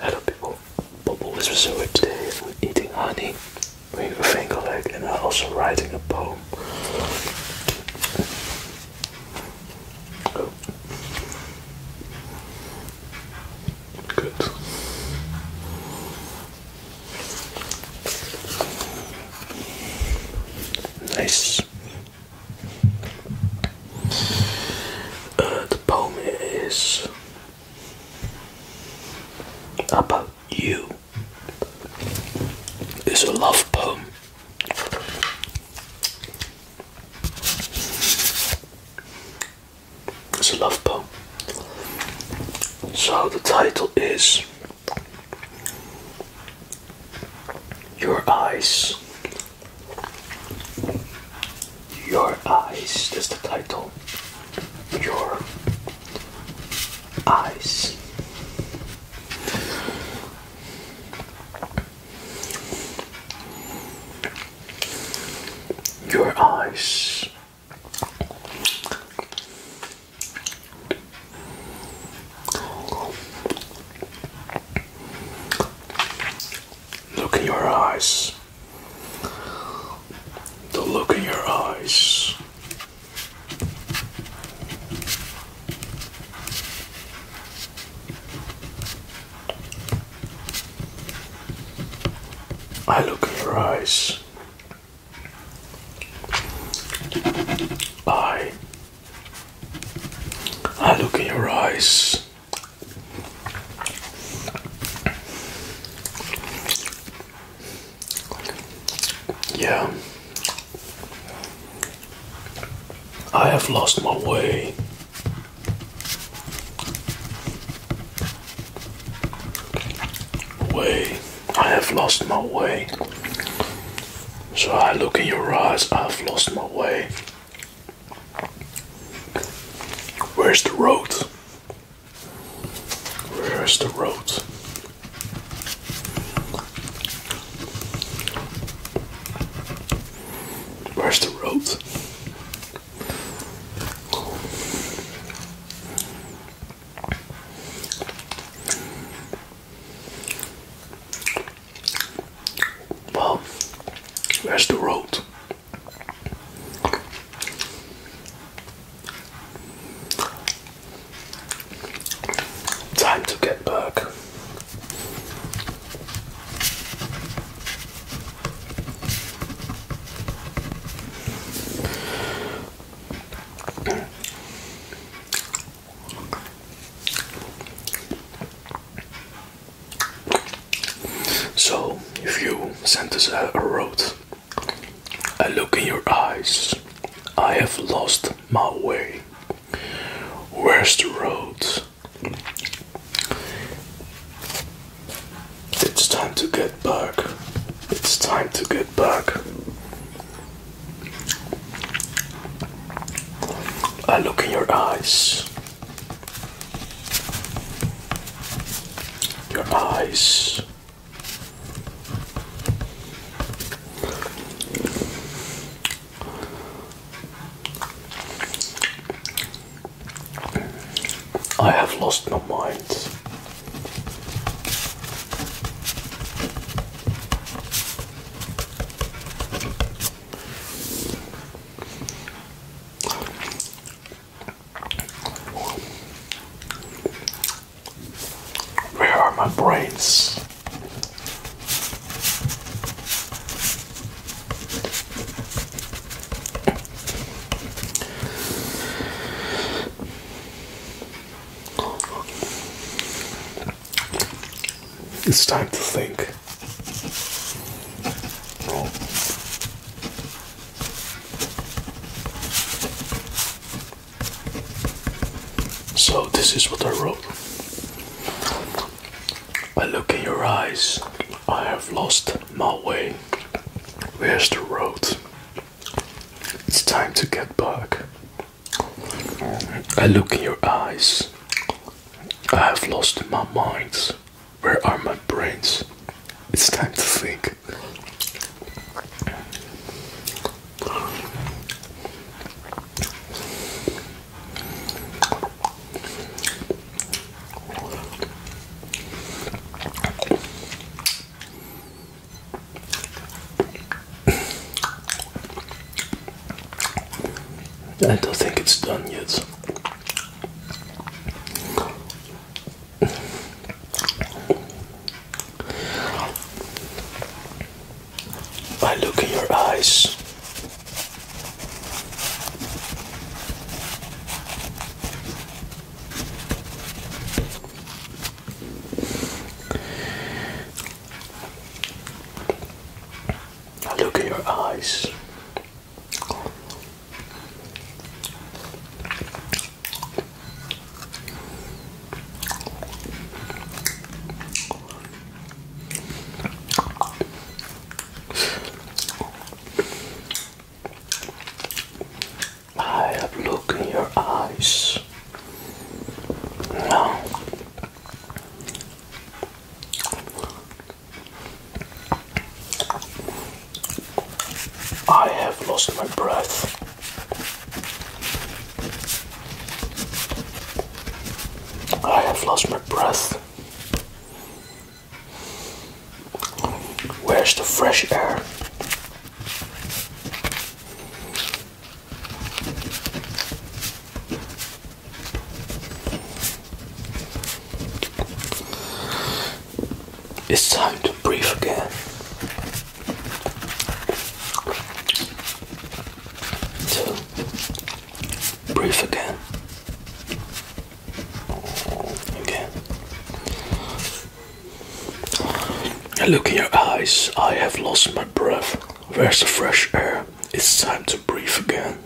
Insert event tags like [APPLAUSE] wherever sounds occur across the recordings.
Hello people, Bubble is with restored today. We're eating honey, we are a finger and I'm also writing a poem. Good. Nice. Uh, the poem is about you is a love poem. It's a love poem. So the title is Your Eyes your eyes is the title. Your eyes. Your eyes. Look in your eyes. The look in your eyes. I look in your eyes. I I look in your eyes. Yeah. I have lost my way. Way. I have lost my way. So I look in your eyes, I've lost my way. Where's the road? Where's the road? Where's the road? Well, where's the road? Time to get back. So, if you send us a, road, I look in your eyes, I have lost my way. Where's the road? It's time to get back. It's time to get back. I look in your eyes. Your eyes. I have lost my mind. Where are my brains? It's time to think. So, this is what I wrote. I look in your eyes, I have lost my way. Where's the road? It's time to get back. I look in your eyes, I have lost my mind. Where are my brains? It's time to think. I don't think it's done yet. I look in your eyes. I look in your eyes. I have looked in your eyes. Now I have lost my breath. I have lost my breath. Where's the fresh air? It's time to breathe again. So, breathe again. Again. Look in your eyes. I have lost my breath. Where's the fresh air? It's time to breathe again.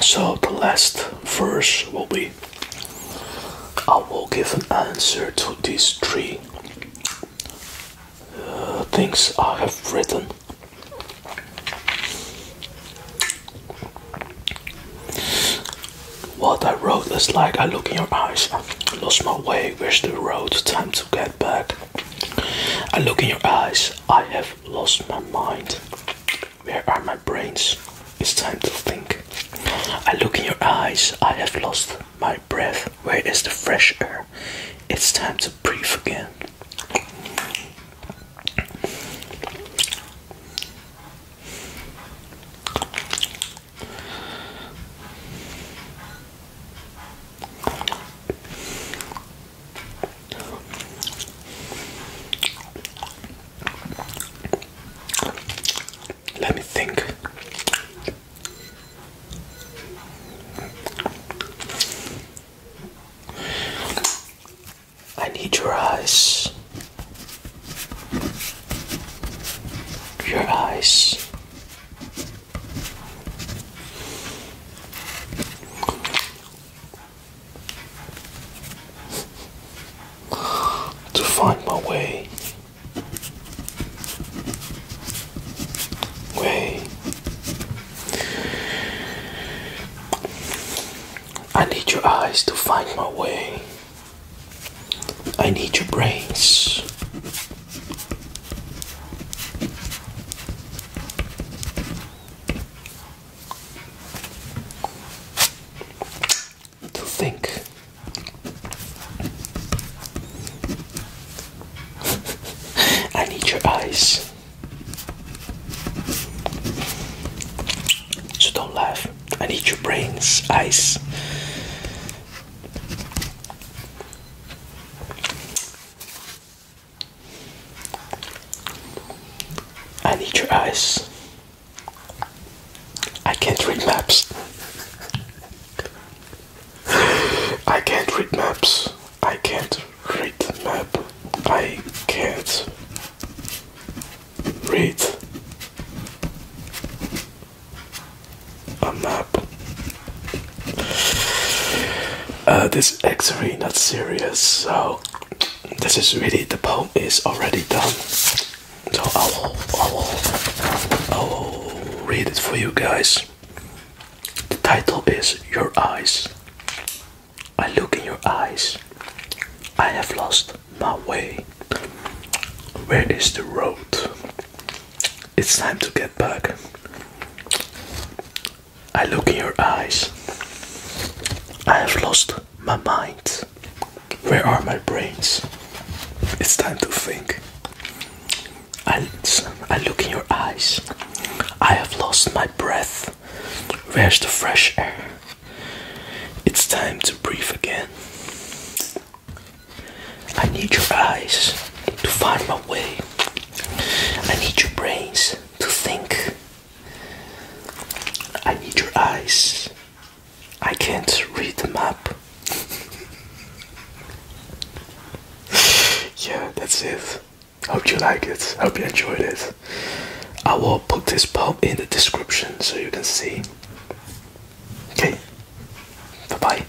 So the last verse will be I will give an answer to these three uh, things I have written. What I wrote is like I look in your eyes, I lost my way, where's the road, time to get I look in your eyes. I have lost my mind. Where are my brains? It's time to think. I look in your eyes. I have lost my breath. Where is the fresh air? It's time to breathe again. Let me think. I need your eyes. Your eyes to find my way. Way. I need your eyes to find my way. I need your brains to think. [LAUGHS] I need your eyes. So don't laugh. I need your brains, eyes. I need your eyes. I can't read maps. I can't read maps. I can't read map. I can't read a map. Uh, this X-ray not serious, so this is really the poem is already done. So I will, I will, I will read it for you guys. The title is Your Eyes. I look in your eyes. I have lost my way. Where is the road? It's time to get back. I look in your eyes. I have lost my mind. Where are my brains? It's time to think. I, I look in your eyes. I have lost my breath. Where's the fresh air? It's time to breathe again. I need your eyes to find my way. I need your brains to think. I need your eyes. I can't read the map. [LAUGHS] yeah, that's it. Hope you like it. Hope you enjoyed it. I will put this poem in the description so you can see. Okay, bye bye.